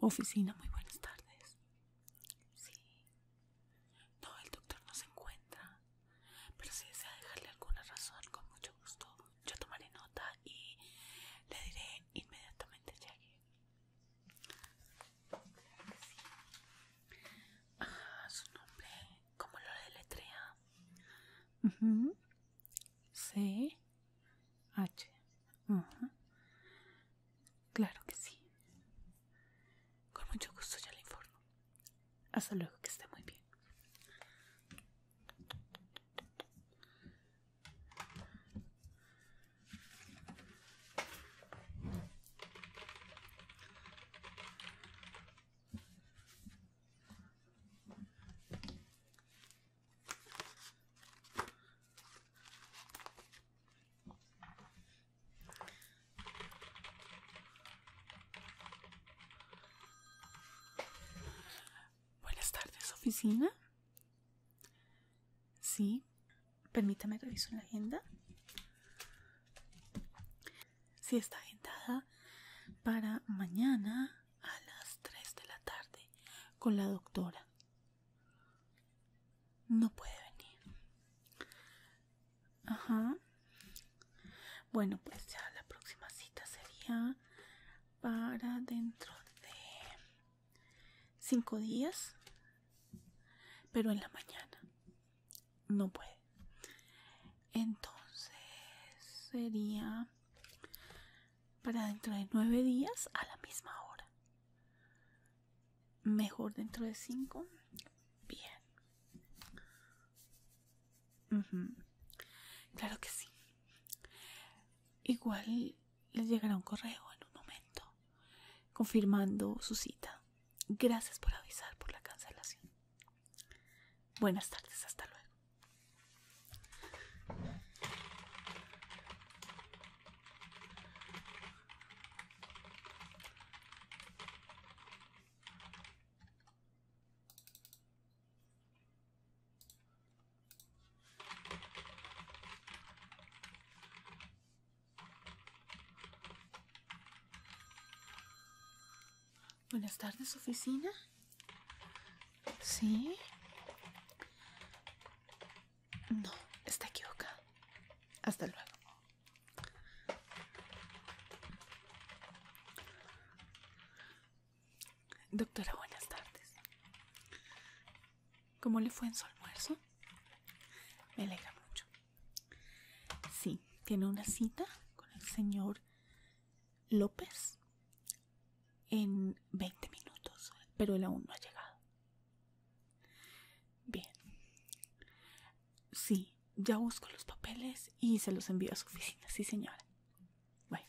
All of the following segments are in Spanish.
Oficina, muy buenas tardes. Sí. No, el doctor no se encuentra. Pero si desea dejarle alguna razón, con mucho gusto, yo tomaré nota y le diré inmediatamente Jackie. Ah, su nombre, ¿cómo lo deletrea? Uh C H. Claro que sí. Con mucho gusto ya le informo. Hasta luego, que esté muy bien. Buenas tardes, oficina. Sí, permítame reviso la agenda. Si está agendada para mañana a las 3 de la tarde con la doctora. No puede venir. Ajá. Bueno, pues ya la próxima cita sería para dentro de cinco días, pero en la mañana no puede. Entonces sería para dentro de nueve días a la misma hora. Mejor dentro de cinco. Bien. Claro que sí. Igual les llegará un correo en un momento confirmando su cita. Gracias por avisar por la cancelación. Buenas tardes, hasta luego. Buenas tardes, oficina. Sí. No, está equivocado. Hasta luego. Doctora, buenas tardes. ¿Cómo le fue en su almuerzo? Me alegra mucho. Sí, tiene una cita con el señor López en 20 minutos, pero él aún no ha llegado. Bien. Sí, ya busco los papeles y se los envío a su oficina, sí señora. Bueno.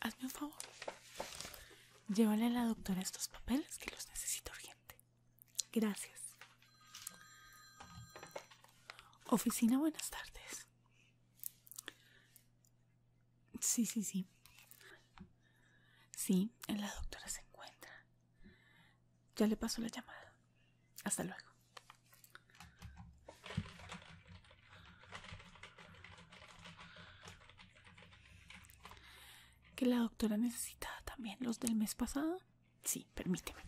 Hazme un favor. Llévale a la doctora estos papeles que los necesito urgente. Gracias. Oficina, buenas tardes. Sí, sí, sí. Sí, en la doctora se encuentra. Ya le paso la llamada. Hasta luego. ¿Que la doctora necesita también los del mes pasado? Sí, permíteme.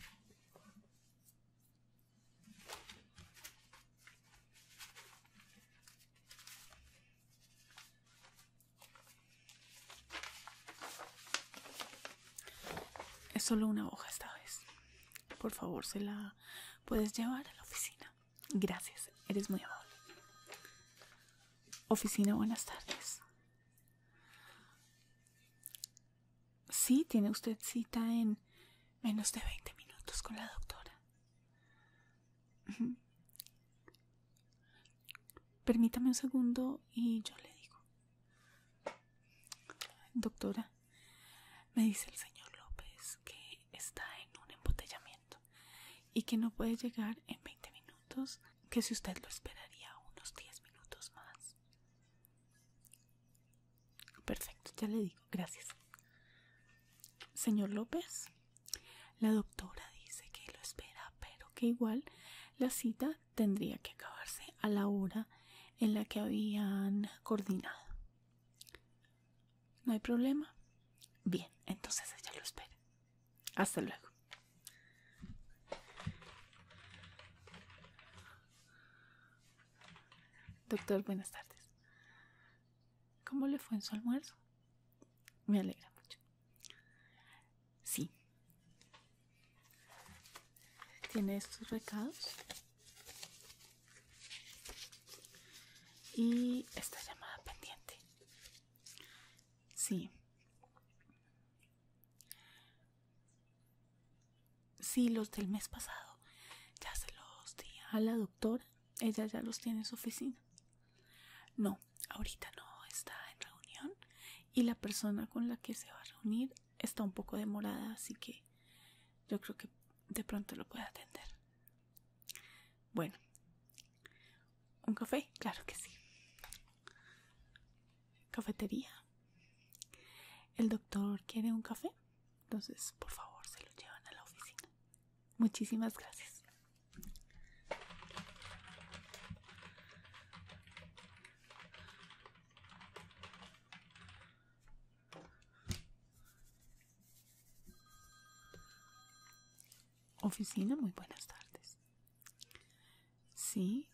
Es solo una hoja esta vez. Por favor, se la puedes llevar a la oficina. Gracias, eres muy amable. Oficina, buenas tardes. Sí, tiene usted cita en menos de 20 minutos con la doctora. Permítame un segundo y yo le digo. Doctora, me dice el señor López que está en un embotellamiento y que no puede llegar en 20 minutos, que si usted lo esperaría unos 10 minutos más. Perfecto, ya le digo, gracias. Señor López, la doctora dice que lo espera, pero que igual la cita tendría que acabarse a la hora en la que habían coordinado. ¿No hay problema? Bien, entonces ella lo espera. Hasta luego. Doctor, buenas tardes. ¿Cómo le fue en su almuerzo? Me alegra mucho. Sí. Tiene estos recados. Y esta llamada pendiente. Sí. Sí, los del mes pasado. Ya se los di a la doctora. Ella ya los tiene en su oficina. No, ahorita no está en reunión y la persona con la que se va a reunir está un poco demorada, así que yo creo que de pronto lo puede atender. Bueno, ¿un café? Claro que sí. Cafetería. El doctor quiere un café, entonces por favor se lo llevan a la oficina. Muchísimas gracias. Oficina, muy buenas tardes. Sí.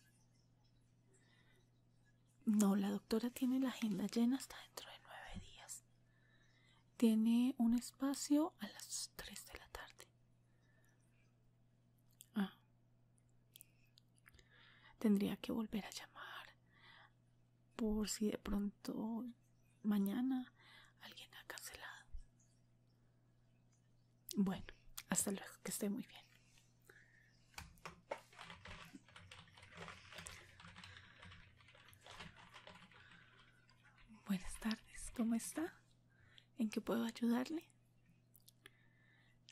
No, la doctora tiene la agenda llena hasta dentro de nueve días. Tiene un espacio a las tres de la tarde. Ah. Tendría que volver a llamar por si de pronto mañana alguien ha cancelado. Bueno, hasta luego, que esté muy bien. Buenas tardes, ¿cómo está? ¿En qué puedo ayudarle?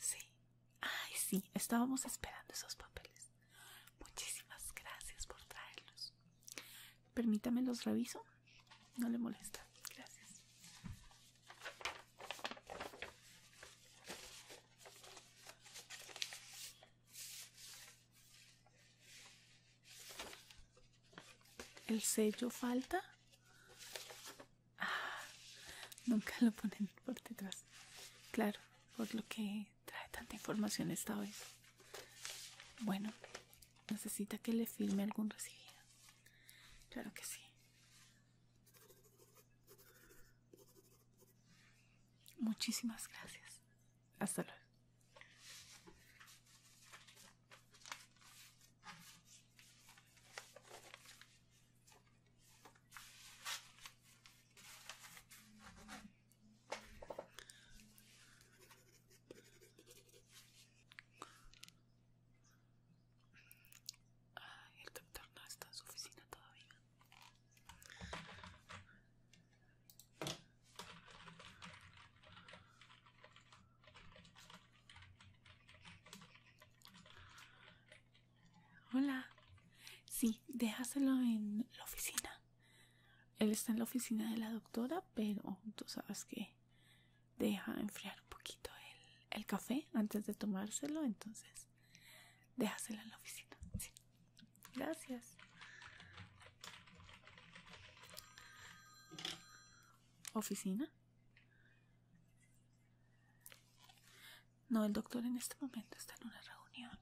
Sí, ay sí, estábamos esperando esos papeles. Muchísimas gracias por traerlos. Permítame los reviso. No le molesta. Gracias. El sello falta. Ah, nunca lo ponen por detrás. Claro, por lo que trae tanta información esta vez. Bueno, necesita que le filme algún recibido. Claro que sí. Muchísimas gracias. Hasta luego el doctor no está en su oficina todavía. Hola. Sí, déjaselo en la oficina. Él está en la oficina de la doctora, pero tú sabes que deja enfriar un poquito el, café antes de tomárselo, entonces déjaselo en la oficina. Gracias. Oficina. No, el doctor en este momento está en una reunión,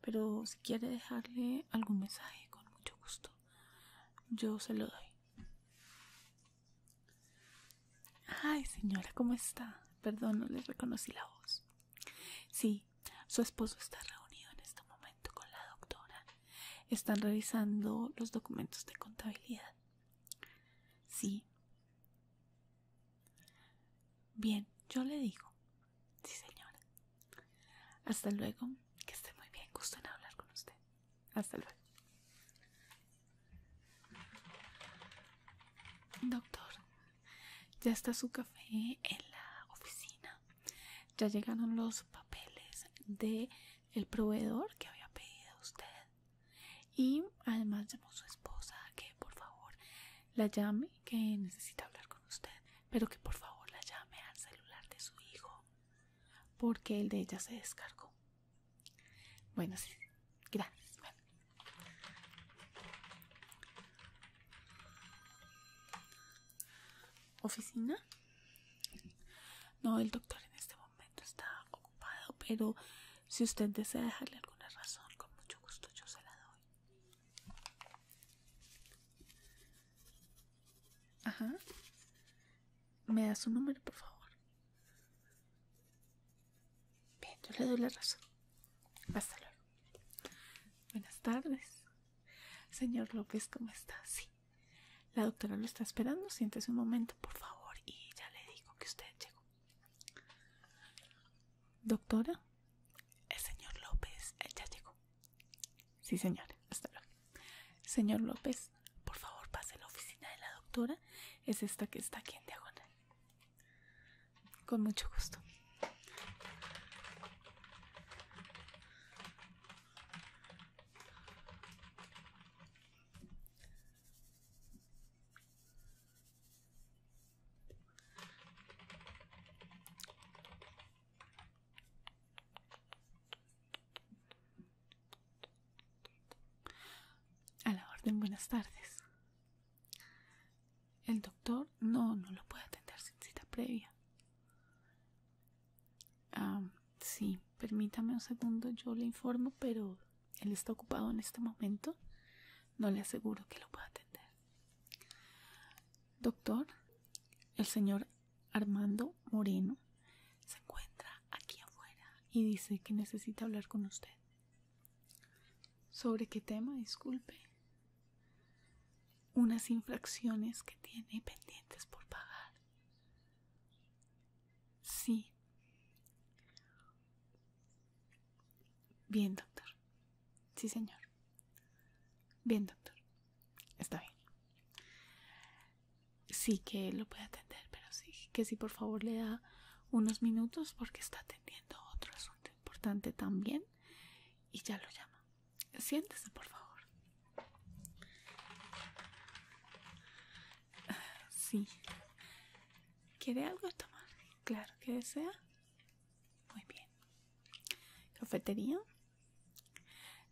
pero si quiere dejarle algún mensaje, con mucho gusto, yo se lo doy. Ay, señora, ¿cómo está? Perdón, no les reconocí la voz. Sí, su esposo está reunido en este momento con la doctora. Están revisando los documentos de contabilidad. Sí. Bien, yo le digo. Sí, señora. Hasta luego. Que esté muy bien. Gusto en hablar con usted. Hasta luego. Doctor, ya está su café en la oficina. Ya llegaron los papeles de el proveedor que había pedido usted. Y además llamó a su esposa que por favor la llame, que necesita hablar con usted, pero que por favor la llame al celular de su hijo, porque el de ella se descargó. Bueno, sí, gracias. Oficina. No, el doctor en este momento está ocupado, pero si usted desea dejarle alguna razón, con mucho gusto yo se la doy. Ajá. ¿Me da su número, por favor? Bien, yo le doy la razón. Hasta luego. Buenas tardes. Señor López, ¿cómo está? Sí. La doctora lo está esperando. Siéntese un momento, por favor, y ya le digo que usted llegó. Doctora, el señor López eh, ya llegó. Sí, señor, hasta luego. Señor López, por favor, pase a la oficina de la doctora. Es esta que está aquí en diagonal. Con mucho gusto. A la orden, buenas tardes. El doctor no, no lo puede atender sin cita previa. Ah, sí, permítame un segundo, yo le informo, pero él está ocupado en este momento. No le aseguro que lo pueda atender. Doctor, el señor Armando Moreno se encuentra aquí afuera y dice que necesita hablar con usted. ¿Sobre qué tema? Disculpe. Unas infracciones que tiene pendientes por pagar. Sí. Bien, doctor. Sí, señor. Bien, doctor. Está bien. Sí que lo puede atender, pero sí que sí, por favor, le da unos minutos porque está atendiendo otro asunto importante también y ya lo llama. Siéntese, por favor. Sí. ¿Quiere algo tomar? Claro que desea. Muy bien. Cafetería.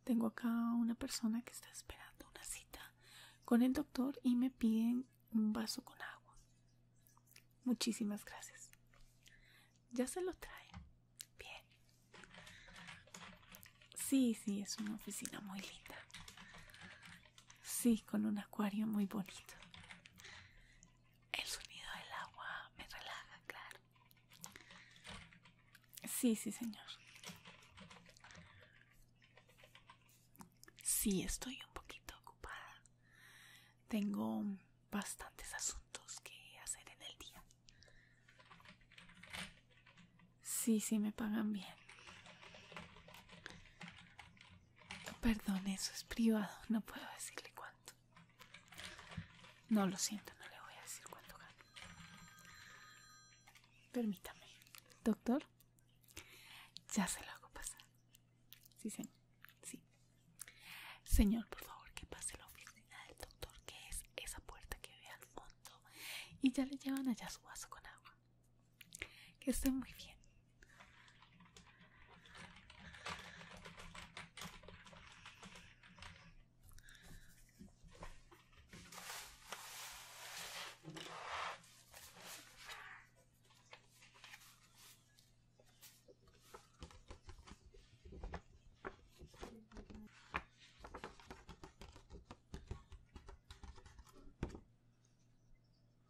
Tengo acá una persona que está esperando una cita con el doctor y me piden un vaso con agua. Muchísimas gracias. Ya se lo trae. Bien. Sí, sí, es una oficina muy linda. Sí, con un acuario muy bonito. El sonido del agua me relaja, claro. Sí, sí, señor. Sí, estoy un poquito ocupada. Tengo bastantes asuntos que hacer en el día. Sí, sí, me pagan bien. Perdón, eso es privado, no puedo decirle cuánto. No lo siento, no le voy a decir cuánto gano. Permítame, doctor. Ya se lo hago pasar. Sí, señor. Sí. Señor, por favor, que pase la oficina del doctor, que es esa puerta que ve al fondo. Y ya le llevan allá su vaso con agua. Que está muy bien.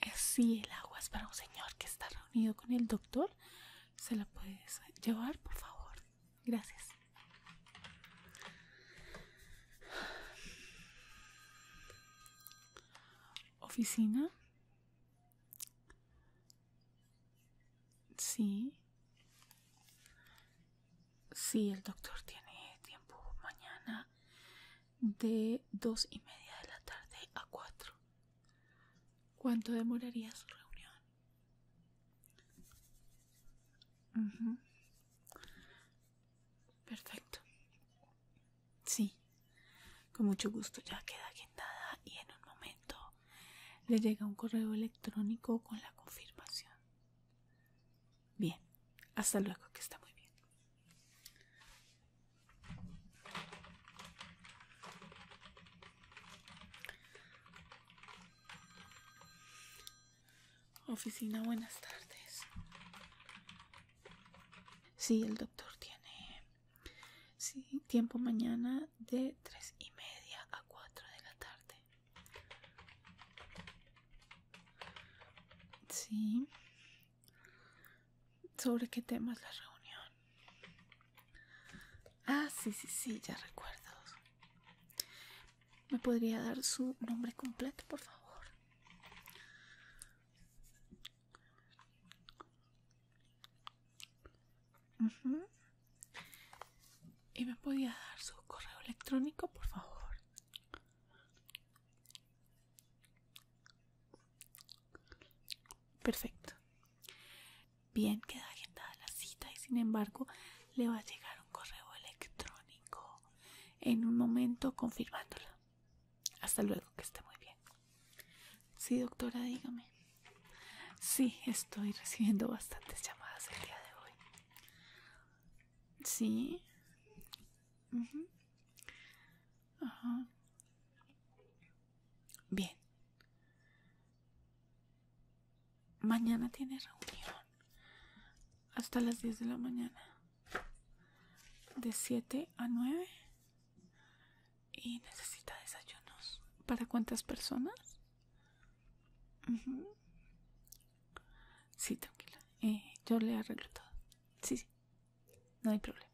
Eh, si el agua es para un señor que está reunido con el doctor, se la puedes llevar, por favor. Gracias. Oficina. Sí. Sí, el doctor tiene tiempo mañana de dos y media de la tarde a cuatro. ¿Cuánto demoraría su reunión? Perfecto. Sí, con mucho gusto ya queda agendada y en un momento le llega un correo electrónico con la confirmación. Bien, hasta luego, que está muy bien. Oficina, buenas tardes. Sí, el doctor tiene sí, tiempo mañana de tres y media a cuatro de la tarde. Sí, ¿Sobre qué tema es la reunión? Ah, sí, sí, sí, ya recuerdo. ¿Me podría dar su nombre completo, por favor? ¿Y me podría dar su correo electrónico, por favor? Perfecto. Bien, queda agendada la cita y sin embargo le va a llegar un correo electrónico en un momento confirmándola. Hasta luego, que esté muy bien. Sí, doctora, dígame. Sí, estoy recibiendo bastantes llamadas el día de hoy. Sí. Bien. Mañana tiene reunión. Hasta las 10 de la mañana. De 7 a 9. Y necesita desayunos. ¿Para cuántas personas? Sí, tranquila. Eh, yo le arreglo todo. Sí, sí. No hay problema.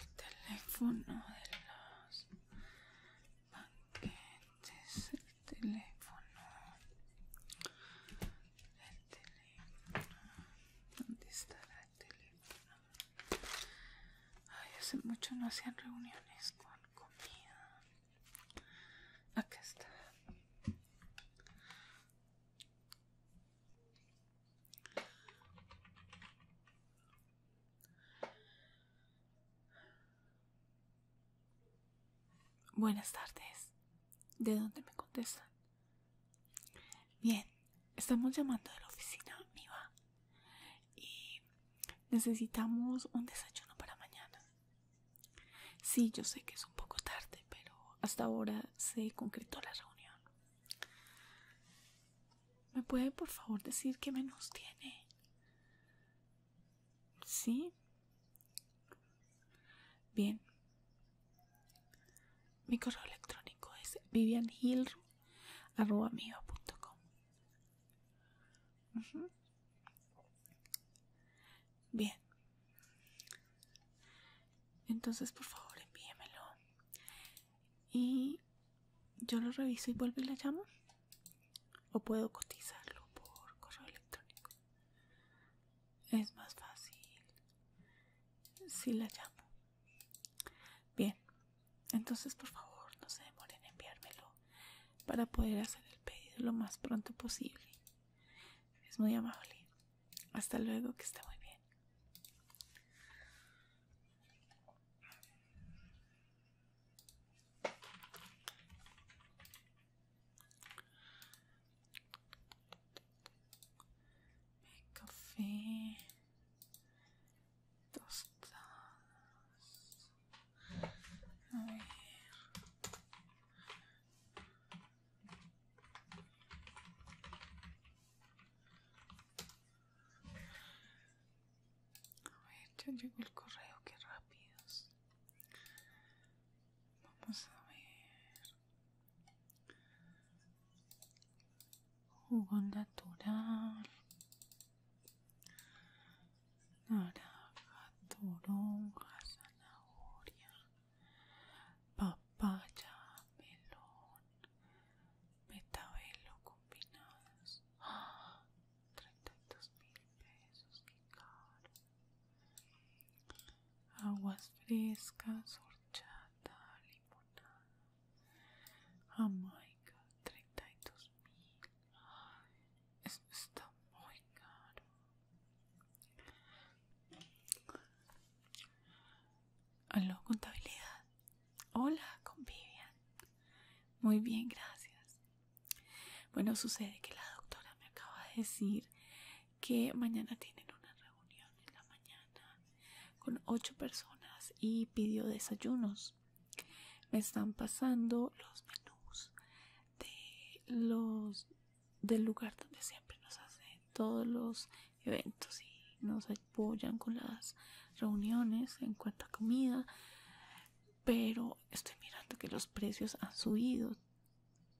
El teléfono de los banquetes teléfono el teléfono ¿dónde está el teléfono? ay hace mucho no hacían reuniones con comida acá está Buenas tardes. ¿De dónde me contestan? Bien, estamos llamando de la oficina va, y necesitamos un desayuno para mañana. Sí, yo sé que es un poco tarde, pero hasta ahora se concretó la reunión. ¿Me puede por favor decir qué menos tiene? Sí, Bien. Mi correo electrónico es vivianhill.com. Bien. Entonces, por favor, envíemelo. Y yo lo reviso y vuelvo y la llamo. O puedo cotizarlo por correo electrónico es más fácil si la llamo bien entonces por favor no se demoren en enviármelo para poder hacer el pedido lo más pronto posible es muy amable hasta luego que esté muy bien café tostadas a ver a ver ya llegó el correo qué rápidos vamos a ver jugo natural, naranja, toronja, zanahoria, papaya, melón, metabelo combinados ¡Ah! 32 mil pesos, qué caro aguas frescas, horchata, limonada, jamaica, 32 mil. esto está muy caro. Aló, contabilidad. Hola, con Vivian. Muy bien, gracias. Bueno, sucede que la doctora me acaba de decir que mañana tienen una reunión en la mañana con ocho personas y pidió desayunos. Me están pasando los menús de los del lugar donde siempre nos hacen todos los eventos y nos apoyan con las reuniones en cuanto a comida pero estoy mirando que los precios han subido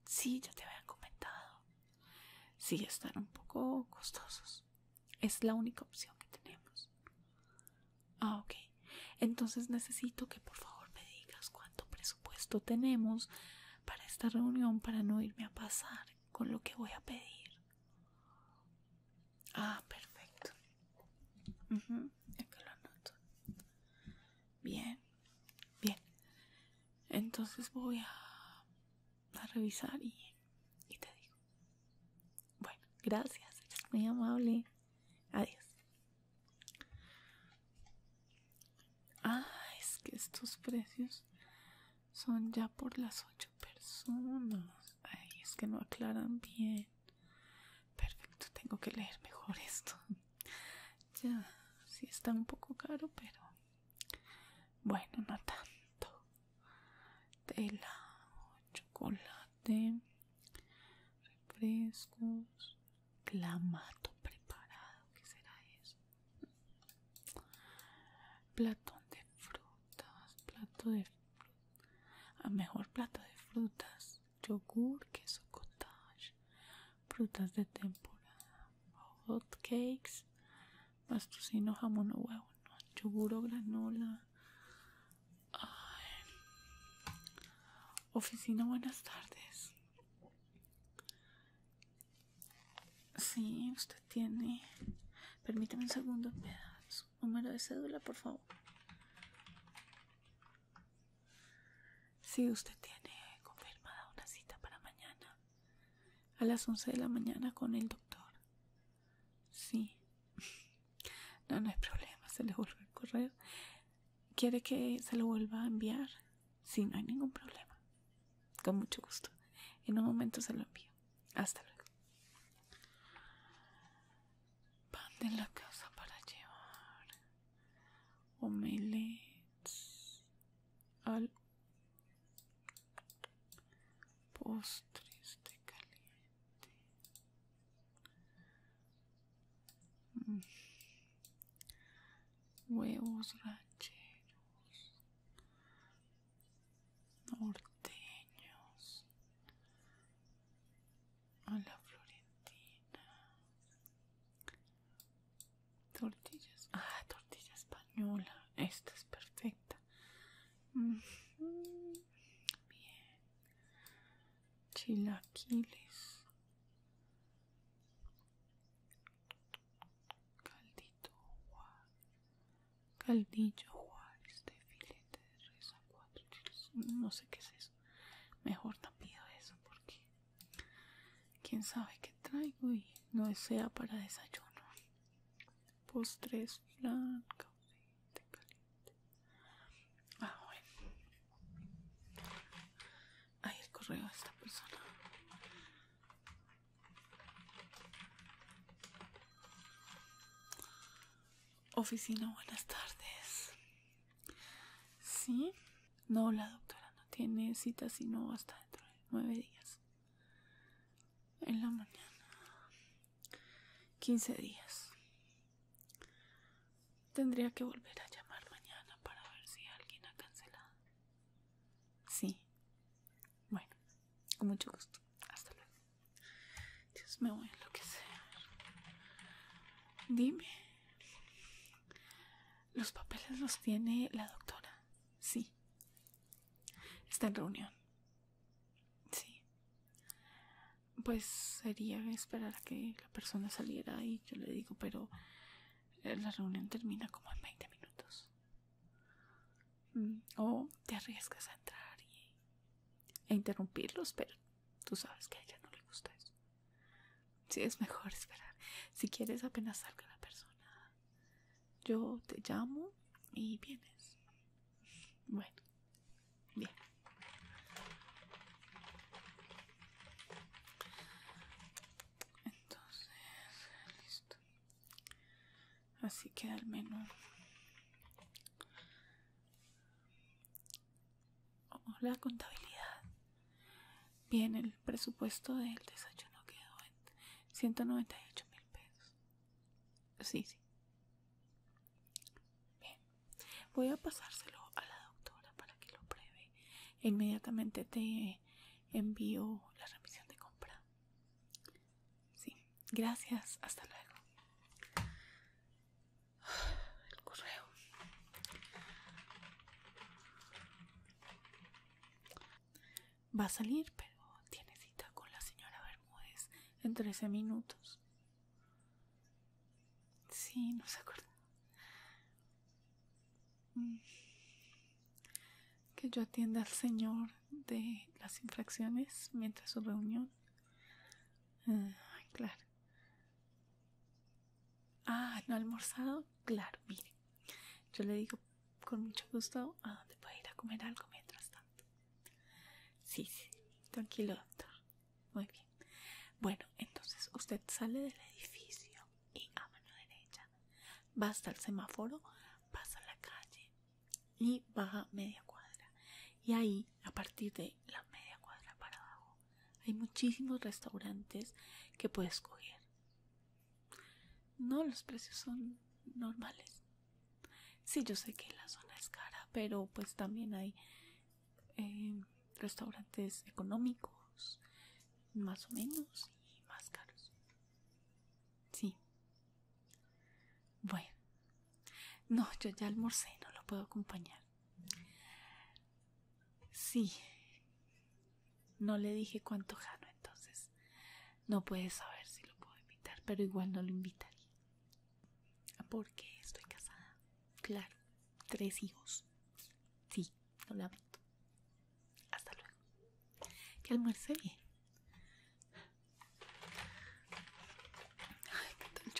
Sí, ya te habían comentado. Sí, están un poco costosos. Es la única opción que tenemos. Ah, ok. Entonces necesito que por favor me digas cuánto presupuesto tenemos para esta reunión para no irme a pasar con lo que voy a pedir. Ah, perfecto. ya que lo anoto. Bien, bien. Entonces voy a, a revisar y, y te digo. Bueno, gracias, eres muy amable. Adiós. Ah, es que estos precios son ya por las ocho personas. Ay, es que no aclaran bien. Perfecto, tengo que leer mejor esto ya si está un poco caro pero bueno no tanto tela chocolate refrescos clamato preparado ¿qué será eso? platón de frutas plato de a ah, mejor plato de frutas yogur queso cottage frutas de temporada, hot cakes, mastocino, jamón o huevo, yoguro, granola. Oficina, buenas tardes. si usted tiene. Permítame un segundo, pedazo, número de cédula, por favor. Sí, usted tiene confirmada una cita para mañana. A las 11 de la mañana con el doctor. Sí. No, no hay problema, se le vuelve el correo. ¿Quiere que se lo vuelva a enviar? Sí, no hay ningún problema. Con mucho gusto. En un momento se lo envío. Hasta luego. Pan de la casa para llevar. Omelets al postres de caliente huevos rancheros norteños a la florentina tortillas ah tortilla española esta es perfecta bien chilaquiles caldito caldillo Juárez de filete de res cuatro chiles no sé qué es eso mejor no pido eso porque Quién sabe qué traigo y no sea para desayuno. Postres, flan, café, caliente. Ah, bueno. Ahí el correo de esta persona. Oficina, buenas tardes. Sí, no, la doctora no tiene cita sino hasta dentro de nueve días. En la mañana. Quince días. Tendría que volver a llamar mañana para ver si alguien ha cancelado. Sí. Bueno, con mucho gusto. Hasta luego. Dios, me voy a enloquecer. Dime. Los papeles los tiene la doctora. Sí. Está en reunión. Sí. Pues sería esperar a que la persona saliera y yo le digo, pero eh, la reunión termina como en 20 minutos. Mm, o te arriesgas a entrar e interrumpirlos, pero tú sabes que a ella no le gusta eso si es mejor esperar. Si quieres, apenas salga la persona. Yo te llamo y vienes. Bueno, bien. Entonces, listo. Así que el menos la contabilidad. Bien, el presupuesto del desayuno quedó en 198 mil pesos. Sí, sí. Bien, voy a pasárselo a la doctora para que lo pruebe. Inmediatamente te envío la remisión de compra. Sí, gracias. Hasta luego. El correo. Va a salir, pero tiene cita con la señora Bermúdez en 13 minutos. Sí, no se acuerda. Mm. Que yo atienda al señor de las infracciones mientras su reunión. Ah, claro. Ah, ¿no ha almorzado? Claro, mire. Yo le digo con mucho gusto a dónde puede ir a comer algo mientras tanto. Sí, sí, tranquilo, doctor. Muy bien. Bueno, entonces usted sale del edificio y a mano derecha va hasta el semáforo, pasa la calle y baja media cuadra. Y ahí, a partir de la media cuadra para abajo, hay muchísimos restaurantes que puede escoger. No, los precios son normales. Sí, yo sé que la zona es cara, pero pues también hay eh, restaurantes económicos, más o menos, y más caros. Sí. Bueno. No, yo ya almorcé, no lo puedo acompañar. Sí. No le dije cuánto jano, entonces no puede saber si lo puedo invitar, pero igual no lo invitaría. Ah, Porque estoy casada. Claro, tres hijos. Sí, no lo visto. Hasta luego. Que almuerce bien. Ay, qué